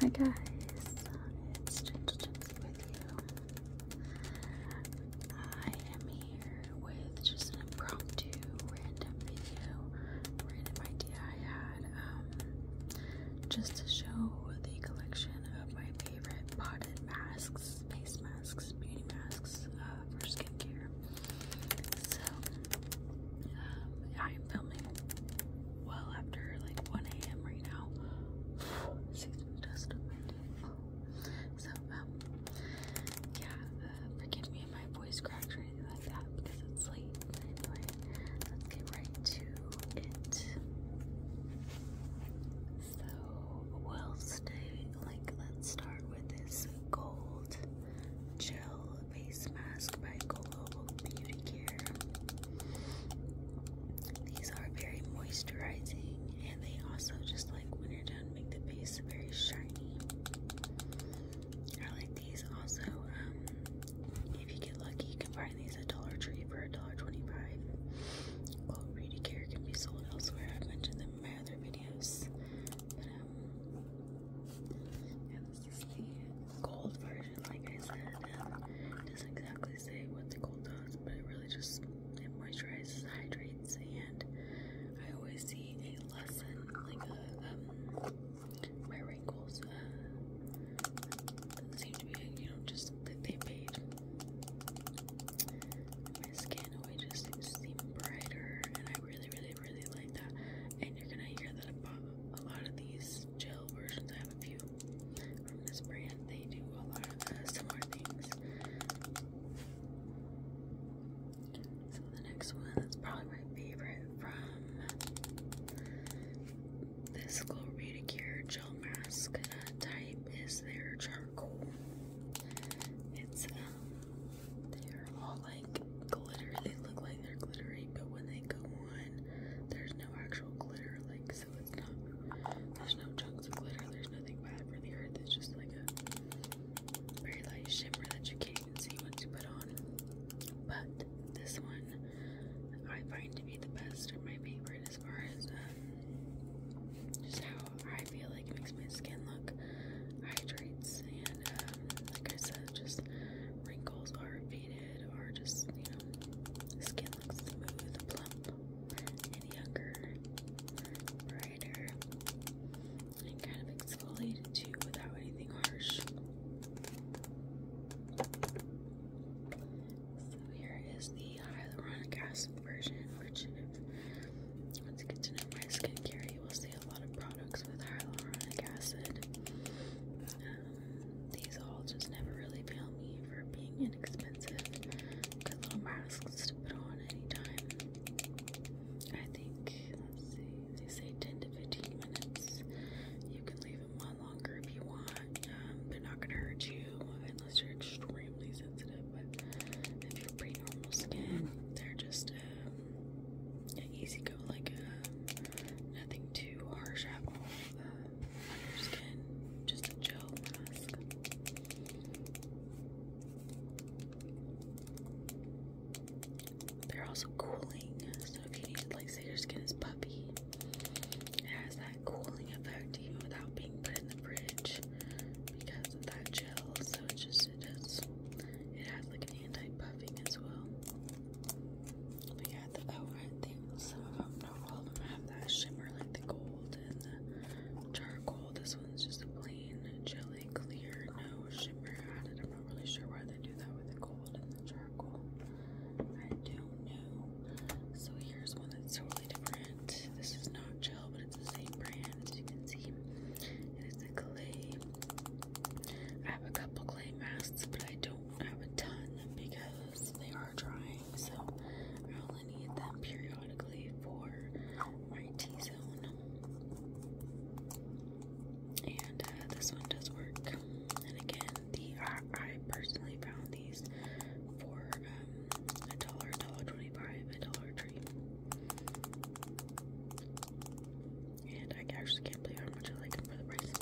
Hi guys, it's Gentle with you. I am here with just an impromptu random video, random idea I had, um, just to show the collection of my favorite potted masks, face masks, beauty masks uh, for skincare. So I am filming well after like 1 a.m. right now. So, um, yeah, uh, forgive me if my voice cracks or anything like that because it's late. Anyway, let's get right to it. So, we'll like, let's start with this gold gel Face Mask by Global Beauty Care. These are very moisturizing and they also just like when you're done make the face very shiny. I like these also. Um, if you get lucky, you can find these at Dollar Tree for $1.25. Well, Beauty Care can be sold elsewhere. I've mentioned them in my other videos. Um, this is the gold version, like I said. It doesn't exactly say what the gold does, but it really just it moisturizes, hydrates, and I always see a lesson, like a, um, my wrinkles uh, seem to be, you know, just that they fade. My skin always just seems brighter, and I really, really, really like that. And you're gonna hear that about a lot of these gel versions. I have a few from this brand. They do a lot of similar things. So the next one that's probably my favorite from this Glow Gel Mask uh, type is their charcoal. It's um, they are all like glitter. They look like they're glittery, but when they go there's no actual glitter, like, so it's not, there's no chunks of glitter. There's nothing bad for the earth. It's just like a very light shimmer that you can't even see once you put on. But this one I find to be the best or my favorite as far as um, just how I feel like it makes my skin look hydrates and um, like I said, just wrinkles are faded head just, you know, skin looks smooth, plump, and younger, brighter, and kind of exfoliated too without anything harsh. So here is the hyaluronic acid version, which once you get to know my skincare, you will see a lot of products with hyaluronic acid. Um, these all just never really fail me for being inexpensive. Good little masks to put on anytime. I think, let's see, they say 10 to 15 minutes. You can leave them on longer if you want. Um, they're not going to hurt you unless you're extremely sensitive. But if you're pretty normal skin, they're just um, an easy go, like a, um, Nothing too harsh at all on your skin. Just a gel mask. They're also cooling, so if you need to, like, say your skin is puffy, it has that cooling effect even without being put in the fridge because of that gel. So it just it does. It has like an anti-puffing as well. We got the overhead things. Some of them, all of them, have that shimmer like the gold and the charcoal. This one's just a plain jelly clear, no shimmer added. I'm not really sure why they do that with the gold and the charcoal. I don't know. So here's one that's totally different. This is not gel, but it's the same brand as you can see. It is a clay. I have a couple clay masks, but I don't I have a ton because they are drying, so I only need them periodically for my T zone. And uh, this one does work. And again, the uh, I personally found these for um, a dollar, a dollar twenty-five, a dollar tree. And I actually can't believe how much I like them for the price.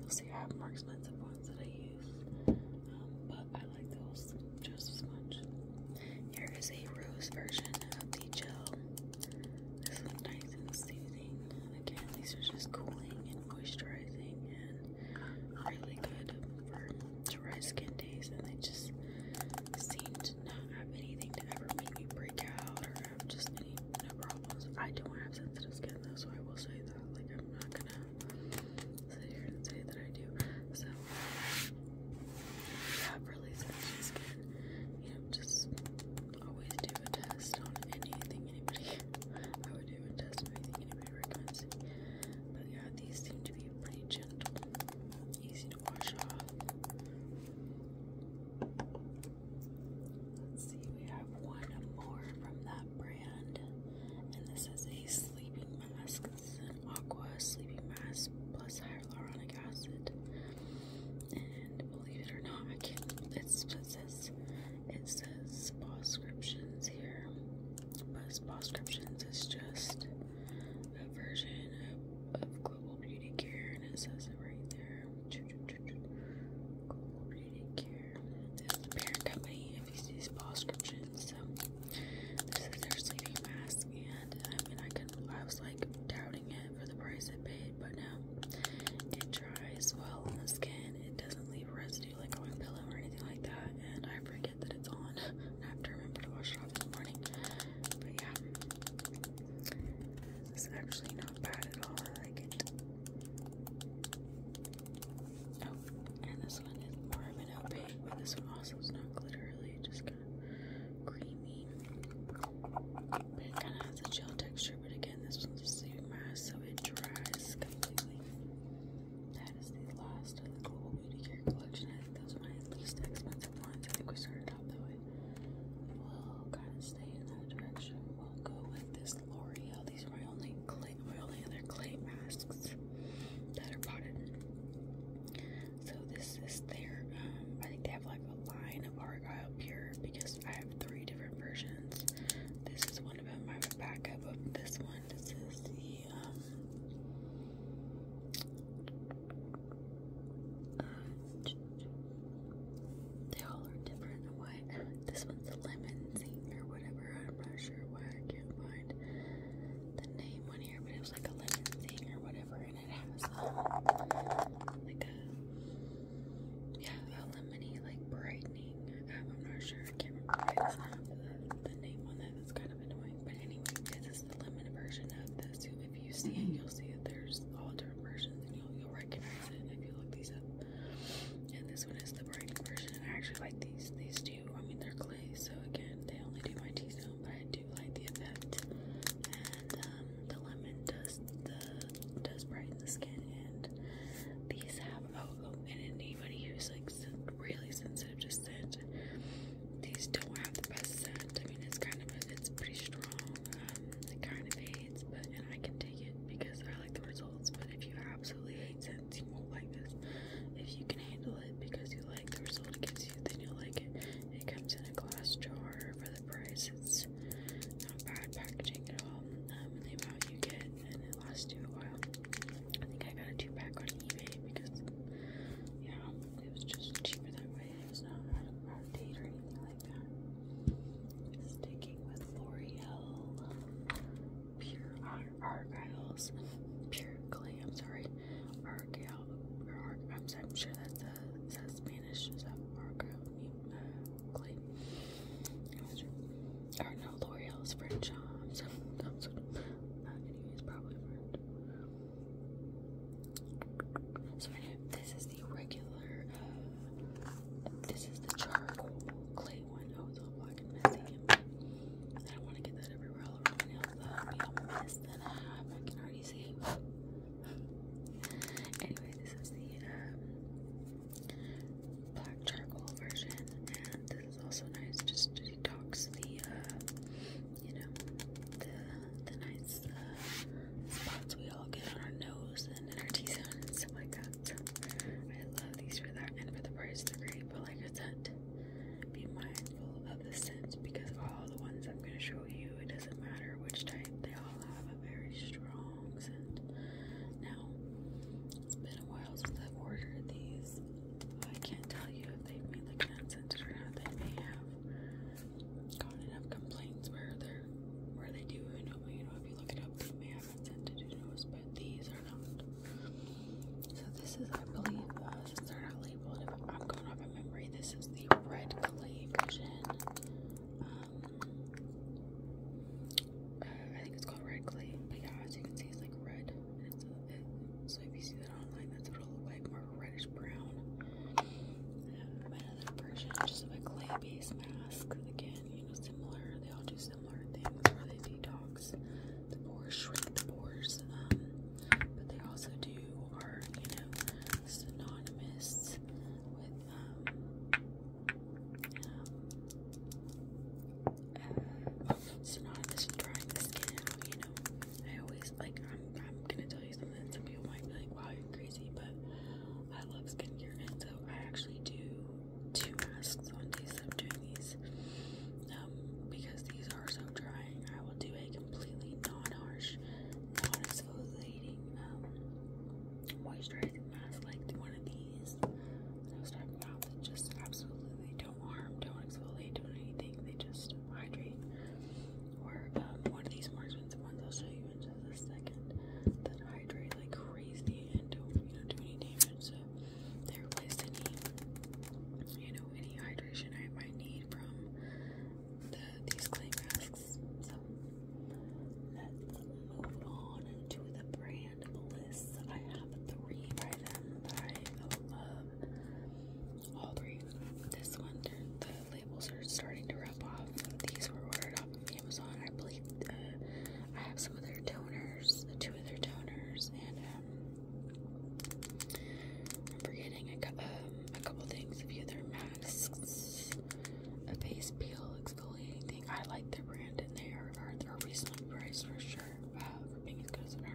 You'll see I have but the ones that I use, um, but I like those just as much. Here is a rose version of the gel. This is nice and soothing. Again, these are just cooling and moisturizing and really good for dry skin days. And they just seem to not have anything to ever make me break out or have just any no problems. I don't have sensitive skin though, so I will say that. Like I'm not gonna sit here and say that I do. So if you have really sensitive skin, you know, just always do a test on anything anybody I would do a test on anything anybody recommends. But yeah, these seem to be pretty gentle, easy to wash off. Let's see, we have one more from that brand. And this is a sleeping mask. It's an aqua sleeping mask plus hyaluronic acid. And believe it or not, I can't it's it says it says prescriptions here. But prescriptions is just a version of global beauty care and it says it right there. This is the parent company of these prescriptions. So this is their sleeping mask, and I mean, I could, I was like doubting it for the price I paid, but now it dries well on the skin. It doesn't leave residue like on my pillow or anything like that, and I forget that it's on. I have to remember to wash it off in the morning. But yeah, it's actually not bad at all. I like it. Oh, and this one is more of an opaque, but this one also is not glittery, just kind of creamy. But it kind of has a gel texture, but again, this one a sleep mask, so it dries completely. That is the last of the Global Beauty Care collection. I think those are my least expensive ones. I think we started off that way. We'll kind of stay in that direction. We'll go with this L'Oreal. These are my only clay, my only other clay masks that are potted. So this is their. Um, I think they have like a line of Argyle here because I have three different versions. This is one of them. I have a backup of this one. This is the um, uh, they all are different and what this one's a lemon zing or whatever. I'm not sure why I can't find the name on here, but it was like a lemon zing or whatever, and it has uh, like a yeah, a lemony like brightening. Um, I'm not sure. I can't remember the, the name on That's kind of annoying. But anyway, this is the lemon version of this. So If you see it, you'll see that there's all different versions you'll, recognize it if you look these up. And this one is the bright version. I actually like these. These two, I mean, they're clay, so again, they only do my T-zone, but I do like the effect. And um, the lemon does the does brighten the skin. And these have oh, oh and anybody who's like really sensitive to scent, these don't have the best scent. I mean, it's kind of a, it's pretty strong. Um, it kind of fades, but and I can take it because I I like the results, but if you absolutely hate scents, you won't like this. If you can handle it because you like the result it gives you, then you'll like it. It comes in a glass jar for the price. It's not bad packaging at all. Um, and the amount you get, and it lasts you a while. I think I got a two pack on eBay because, yeah, it was just cheaper that way. It was not out of date or anything like that. Stick with L'Oreal, Pure Argiles Pure Clay, I'm sorry, Argyle, or I'm, sure that's, a, Spanish, is that Argyle, uh, Clay, or no, L'Oreal French, uh, I'm sorry, I'm sorry. Uh, anyways, probably French. So this is the regular, uh, this is the charcoal clay Oh, black and messy. I want to get that everywhere all over my nails. I can already see. anyway, this is the um, black charcoal version, and this is also nice just to detox the, uh, you know, the the nice uh, spots we all get on our nose person in our T-zone and oh stuff like that. So I love these for that and for the price they're great. But like I said, be mindful of the scents because all the ones I'm gonna show you, it doesn't matter which type, they all have a very strong scent. Now it's been a while since I've ordered these. I can't tell you if they've made like an unscented or not. They may have gotten enough complaints where they're where they do and you know if you look it up they may assistant to but these are not. So this is, I believe, uh, they're not labeled, if I'm going off of memory, this is the Red Clay Vision. Um, uh, I think it's called Red Clay, but yeah, as you can see, it's like red. And it's, uh, it, so if you see that online, that's what it'll more reddish brown. Um, another version, just a clay-based mask. Again, you know, similar. They all do similar things where they detox the pores, shrink the pores, um, but they also do are, you know, synonymous with um, um uh, synonymous with drying the skin out, you know. I always like I'm gonna tell you something that some people might be like, wow, you're crazy, but I love skincare and so I actually do two masks on days I'm doing these um, because these are so drying. I will do a completely non-harsh, non-exfoliating um, moisturizing mask like one of these I was talking about that just absolutely don't harm, don't exfoliate, don't anything. They just hydrate. Or um, one of these more expensive ones I'll show you in just a second that hydrate like crazy and don't you know do any damage they replace any you know any hydration I might need from the these clay masks. So let's move on to the brand list. I have three by them that I love. All three. This one, the labels are starting to rub off. These were ordered off Amazon. I believe uh, I have some of their toners, two of their toners, and um, I'm forgetting a, um, a couple things. A few of their masks, a face peel exfoliating thing. I like their brand, and they are, are, are reasonably priced for sure. Uh, I don't even uh, this for a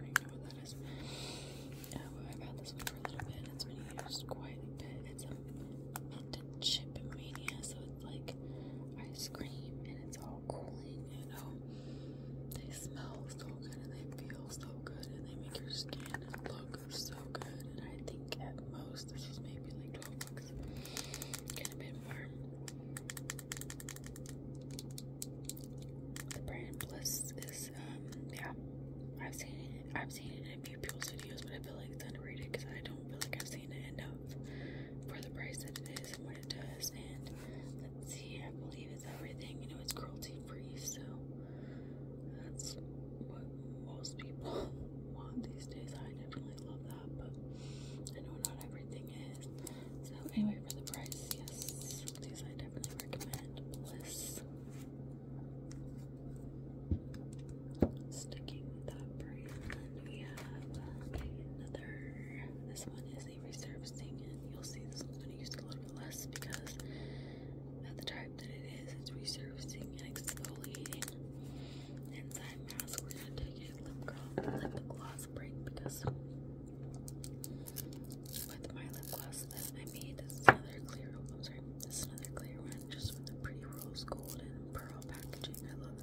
little bit, it's been used quite a bit. It's a melted chip mania, so it's like ice cream, and it's all so cooling, you know. They smell so good and they feel so good and they make your skin look so good. And I think at most this is maybe like 12 bucks. Get a bit more. The brand Bliss is um yeah. I've seen it I've seen it in a few people's videos, but I feel like it's underrated because I don't feel like I've seen and the for the price that it is and what it does. And let's see, I believe it's everything. You know, it's cruelty free, so that's what most people want these days. I definitely love that, but I know not everything is. So, anyway, for the price, yes, these I definitely recommend. Bliss. Sticking with that brand, we have another this one is a resurfacing, and you'll see this one going to use a little bit less because of the type that it is. It's resurfacing and exfoliating. Inside mask, we're going to take a lip, Let the gloss break because with my lip gloss I made, this is another clear. Oh, this is another clear one, just with the pretty rose gold and pearl packaging. I love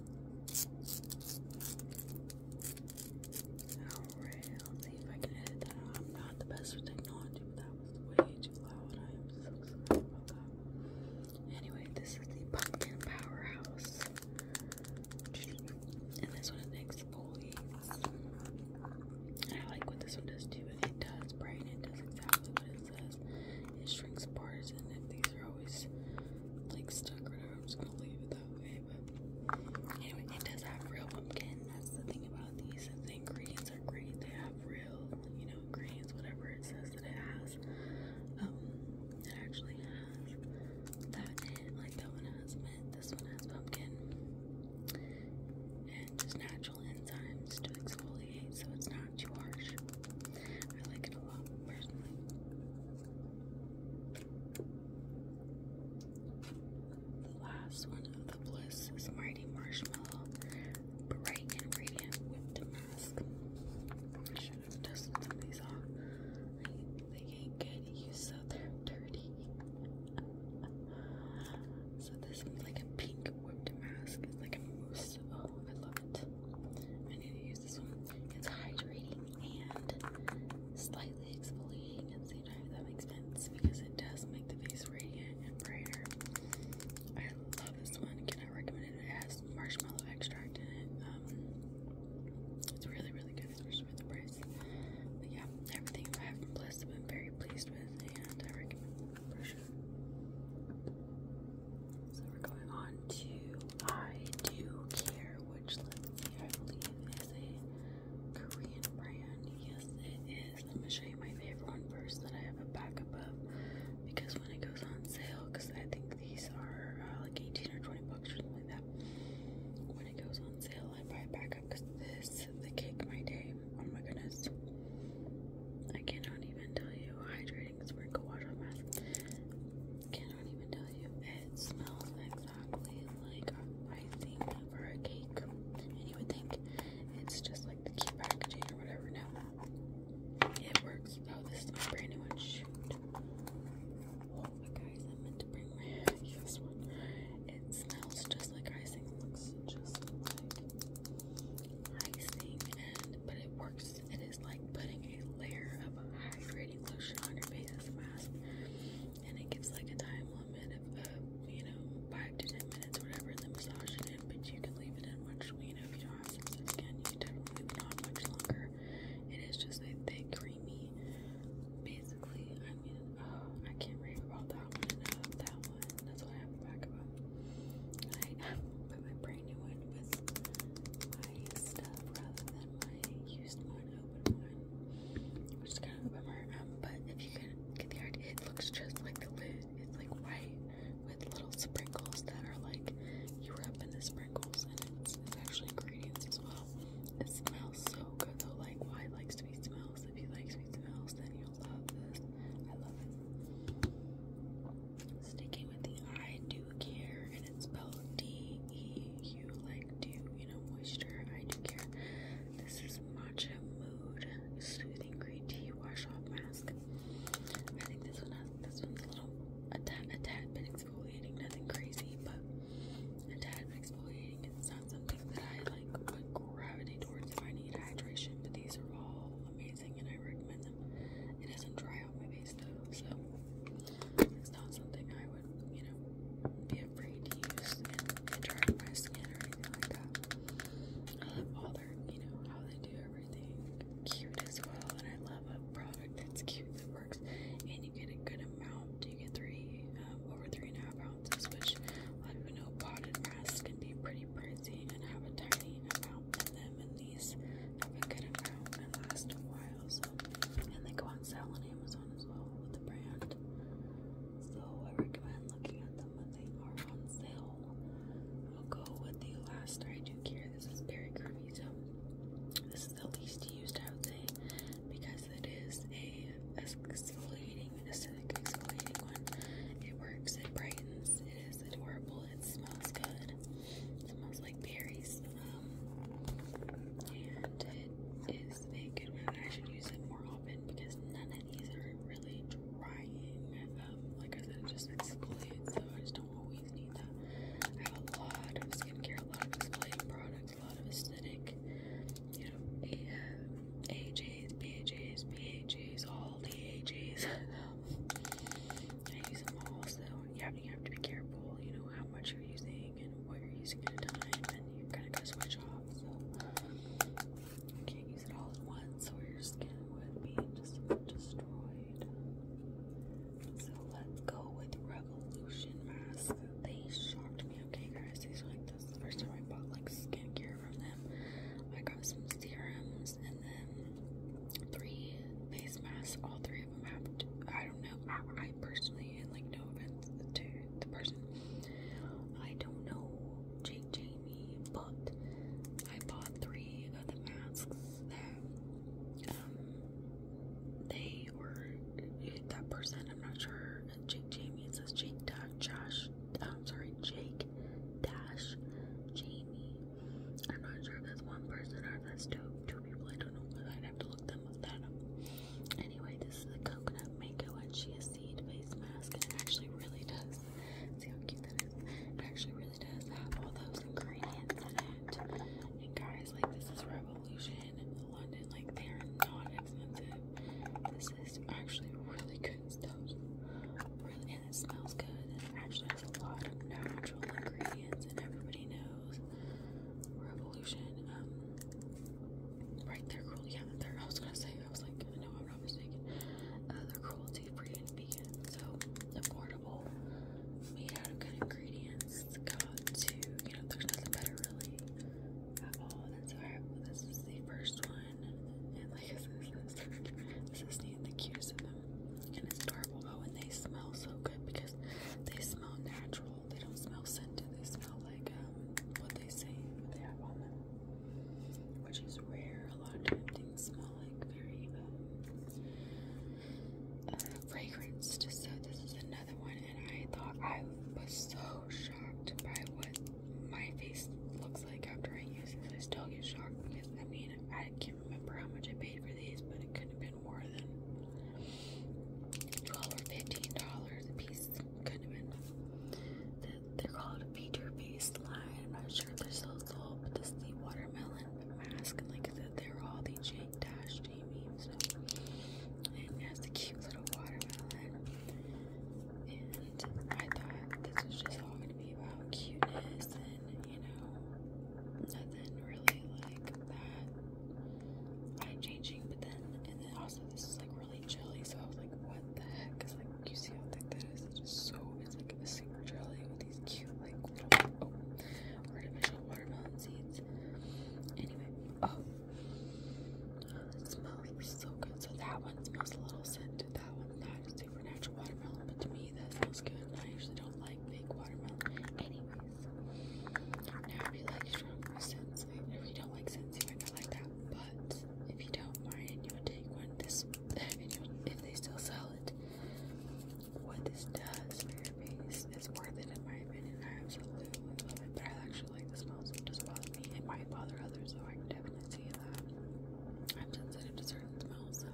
Alright, let's see if I can edit that I'm not the best with technology, that was way too loud. I am so sorry about that. Anyway, this is the Pumpkin Powerhouse. And this one is exfoliates. I like what this one does too. It does brighten. It does exactly what it says because it shrinks bars and if these are always like stuck or whatever, I'm just gonna leave it that way. But anyway, it does have real pumpkin. That's the thing about these. The ingredients are great. They have real, you know, greens, whatever it says that it has. Um, it actually has that it. Like that one has mint. This one has pumpkin. And just natural enzymes to exfoliate, so it's not too harsh. I like it a lot personally. The last one of the Bliss Smarty Marshmallow Bright and Whipped Mask. I should have tested some of these off. They can't you so they're dirty. so this one's like a pink whipped mask. like a mousse. Oh, I love it. I need to use this one. It's hydrating and slightly exfoliating at the same time, that makes sense, because it does make the face radiant and brighter. I love this one. Can I recommend it? It has marshmallow extract in it. Um, it's really, really good, especially for the price. But yeah, everything I have been blessed, i am very pleased with, and I recommend the brush. So we're going on to I Do Care, which let's see, I believe is a Korean brand. Yes, its Let me show you my favorite one first that I have a backup of because when it goes on sale, because I think these are uh, like 18 or 20 bucks or something like that. When it goes on sale, I buy a backup because this, the cake my day. Oh my goodness. I cannot even tell you hydrating sprinkle wash on mask cannot even tell you. It smells exactly like icing for a cake. And think it's just like the cute packaging or whatever. No, it works. Oh, this is brand new one. Shoot. Oh my guys, I meant to bring my this one. It smells just like icing. looks just like icing, and but it works. It is like putting a layer of hydrating lotion on your face as a mask, and it gives like a time limit of, you know, five to ten minutes, whatever. And then massage it in, but you can leave it in much. You know, if you don't have sensitive skin, you can definitely leave it on much longer. It is just a thick, creamy. Basically, I mean, oh, I can't rave about that one enough. That one, that's what I have the back of. It. I, but my brain new one with my stuff rather than my used one, open one, which is kind of bummer. Um, but if you can get the idea, it looks just like the lid. It's like white with little sprinkles that are like you rub in the sprinkles, and it's, actually ingredients as well. It smells so good though. Like, why likes sweet smells? If you like sweet smells, then you'll love this. I love it. Sticking with the eye, do Care, and it's spelled D E U, like do you know moisture? I do care. This is Matcha Mood Soothing Green Tea Wash Off Mask. I think this one has this one's a little a tad a tad bit exfoliating, nothing crazy, but a tad bit exfoliating. It's not something that I like would gravitate towards if I need hydration, but these are all amazing and I recommend them. It doesn't dry out my face nice stuff, so it's not something I would, you know, be afraid to use and, and dry my skin or anything like that. I love all their, you know, how they do everything cute as well, and I love a product that's cute that works, and you get a good amount. You get three, um, over three and a half ounces, which a lot of people know potted masks can be pretty pricey and have a tiny amount them and these have a good and last a while. So and they go on sale on Amazon as well with the brand. So I recommend looking at them when they are on sale. I'll go with the last I do care. This is Berry Curvy. this is the least used I would say because it is a exfoliating, acidic exfoliating one. It works, it brightens, it is adorable, it smells good. It smells like berries. Um, and it is a good one. I should use it more often because none of these are really drying. Um, like I said, it just exfoliates, so I just don't always need that. I have a lot of skincare, a lot of exfoliating products, a lot of acidic, you know, a, uh, AHAs, BHAs, BHAs, all the AHAs. I use them all, so yeah, and you have to be careful, you know, how much you're using and what you're using at a time, and you're kind of going to switch off. So, you can't use it all at once, or your skin would be just destroyed. So, let's go with Revolution Mask. They shocked me, okay, guys. These are like this is the first time I bought like skincare from them. I got some serums and then three face masks, all three i don't know. I, personally, and like no offense to the person, I don't know Jake Jamie, but I bought three of the masks that um they were eh, that person. I'm not sure. Jake Jamie. It says Jake Josh. I'm sorry, Jake Dash Jamie I'm not sure if that's one person or if that's two two people. I don't know, but I'd have to look them up that up. Anyway, this is the coconut mango and chia seed face mask, and it actually really does. See how cute that is? It actually really does have all those ingredients in it. And guys, like this is revolution in London. Like they are not expensive. This is actually really good stuff. Really, and it smells good. And it actually has a lot of natural ingredients, and everybody knows Revolution. Um, right, there. are Yeah, they I was gonna say. I was like, no, I'm not mistaken. Uh, they're cruelty-free and vegan, so affordable, made out of good ingredients. Got to, you know, there's nothing better really at all. And so this is the first one, and like this is, this is the, cutest and it's adorable. Oh, and they smell so good because they smell natural. They don't smell scented. They smell like um, what they say what they have on them, which is rare. A lot of things smell like very um, uh, fragranced. So this is another one, and I thought I was so shocked by what my face looks like after I use this. I still get shocked because I mean I can't remember how much I paid for these, but it couldn't have been more than twelve or fifteen dollars a piece. Couldn't have been. They're called a feature line. I'm not sure if they're still sold, but this is the watermelon mask. And like I said, they're all the Jake Dash J memes. And it has the cute little watermelon. And I thought this was just all going to be about cuteness and, you know, nothing really like that eye changing, but then and then also this is like really chilly, so I was like, what the heck? Cause like you see how thick that is. It's just so it's like a super jelly with these cute like little oh, artificial watermelon seeds. Anyway, oh it smells so good. So that one smells a little scented. That one, not a supernatural watermelon, but to me that smells good. I usually don't like fake watermelon. Anyway, now, if you like shrimp or if you don't like scents, you might not like that. But if you don't mind, you would take one. This, if they still sell it, what this does for your face is worth it, in my opinion. I absolutely love it, but I actually like the smell, it doesn't bother me. It might bother others, so I can definitely see that. I'm sensitive to certain smells, so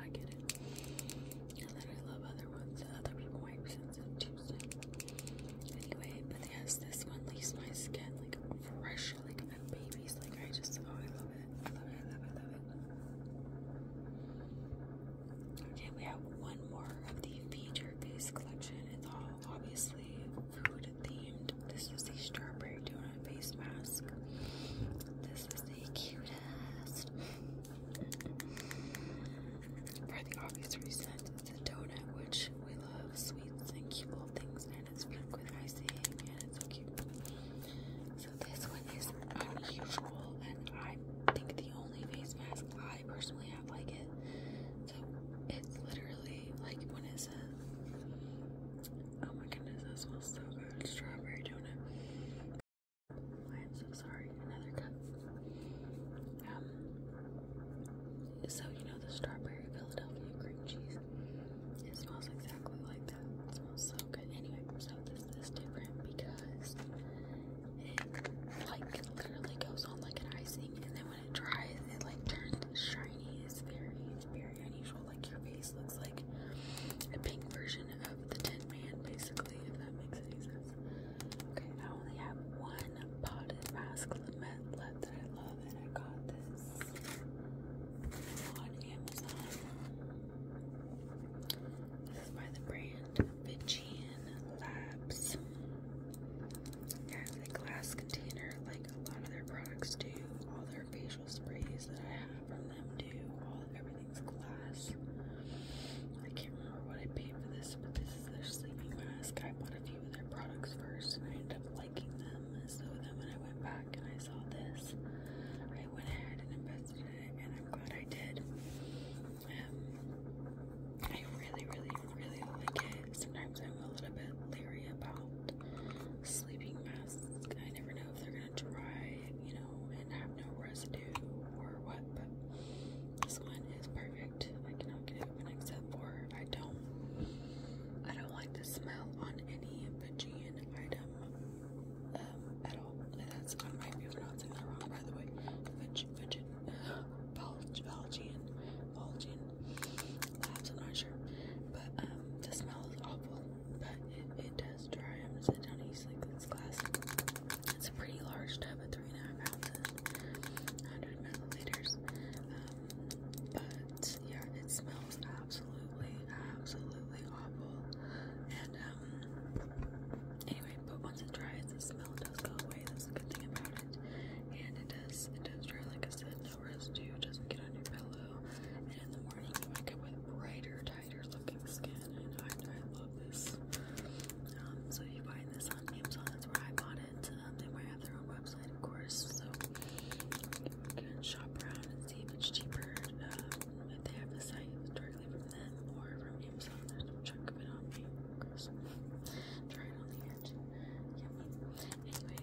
I get it. And then love other ones that other people might sense of Anyway, but yes, this one leaves my skin like fresh, like a baby's. Like I just, oh, I love it. I love it. I love it. I love it. Okay, we have one more of the feature face collection. It's all obviously food themed. This is the strawberry donut face mask. This is the cutest. For the obvious reason, it's a donut, which we love sweets and cute little things, and it's pink with icing, and it's so cute. So this one is unusual, and I think the only face mask I personally have like it. So it's literally like when it says, "Oh my goodness, that smells so good, strawberry donut." I am so sorry. Another cup. Um, so you know the strawberry Philadelphia cream cheese. It smells exactly like that. It smells so good. Anyway, so this is different because it like literally goes on like an icing, and then when it dries, it like turns shiny. It's very, very unusual. Like your face looks like a pink version version of the Tin Man, basically, if that makes any sense. Okay, I only have one potted mask left that I love, and I got this on Amazon. This is by the brand Fijian Labs. It has a glass container, like a lot of their products do. All their facial sprays that I have from them do. All everything sleeping I can't remember what I paid for this, but this is their sleeping mask. I bought a few of their products first and I ended up liking them. So then when I went back and I saw this, I went ahead and invested in it and I'm glad I did. Um, I really, really, really like it. Sometimes I'm a little bit leery about sleeping masks. I never know if they're gonna dry you know, and have no residue or what, but this one is perfect. I cannot get it except for I don't I don't like the smell on any Fijian item um at all. And that's I might be pronouncing that wrong by the way. Fijian Fijian Belgian Belgian I'm not sure. But um, the smell is awful, but it, does dry. I'm gonna sit down easily like science class. It's a pretty large tub at three and a half ounces, 100 milliliters. Um, but yeah, it smells absolutely, absolutely awful. And um, anyway, but once it dries, the smell does go away. That's the good thing about it. And it does, it does dry. Like I said, no residue. Doesn't get on your pillow. And in the morning, you wake up with brighter. Type tighter looking skin and I, love this. Um, so you find this on Amazon, that's where I bought it. Um, they might have their own website of course, so you can shop around and see if it's cheaper. Um, if they have the site directly from them or from Amazon, there's no chunk of it on me. Of on the edge. Yummy. Anyway,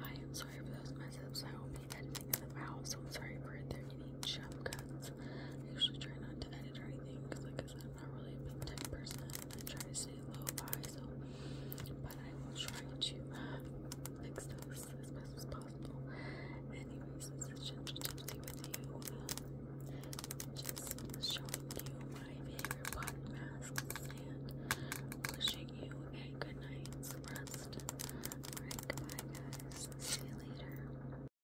I am sorry for those messes. I will be editing them out, so I'm sorry for there any jump cuts. I usually try not to edit or anything because, like I said, I'm not really a big tech person. I try to stay low by, so but I will try to uh, fix those as best as possible. Anyways, this is Ginger Tipsy with you. Um, just showing you my favorite body and wishing you a good night's rest. Alright, goodbye, guys. See you later.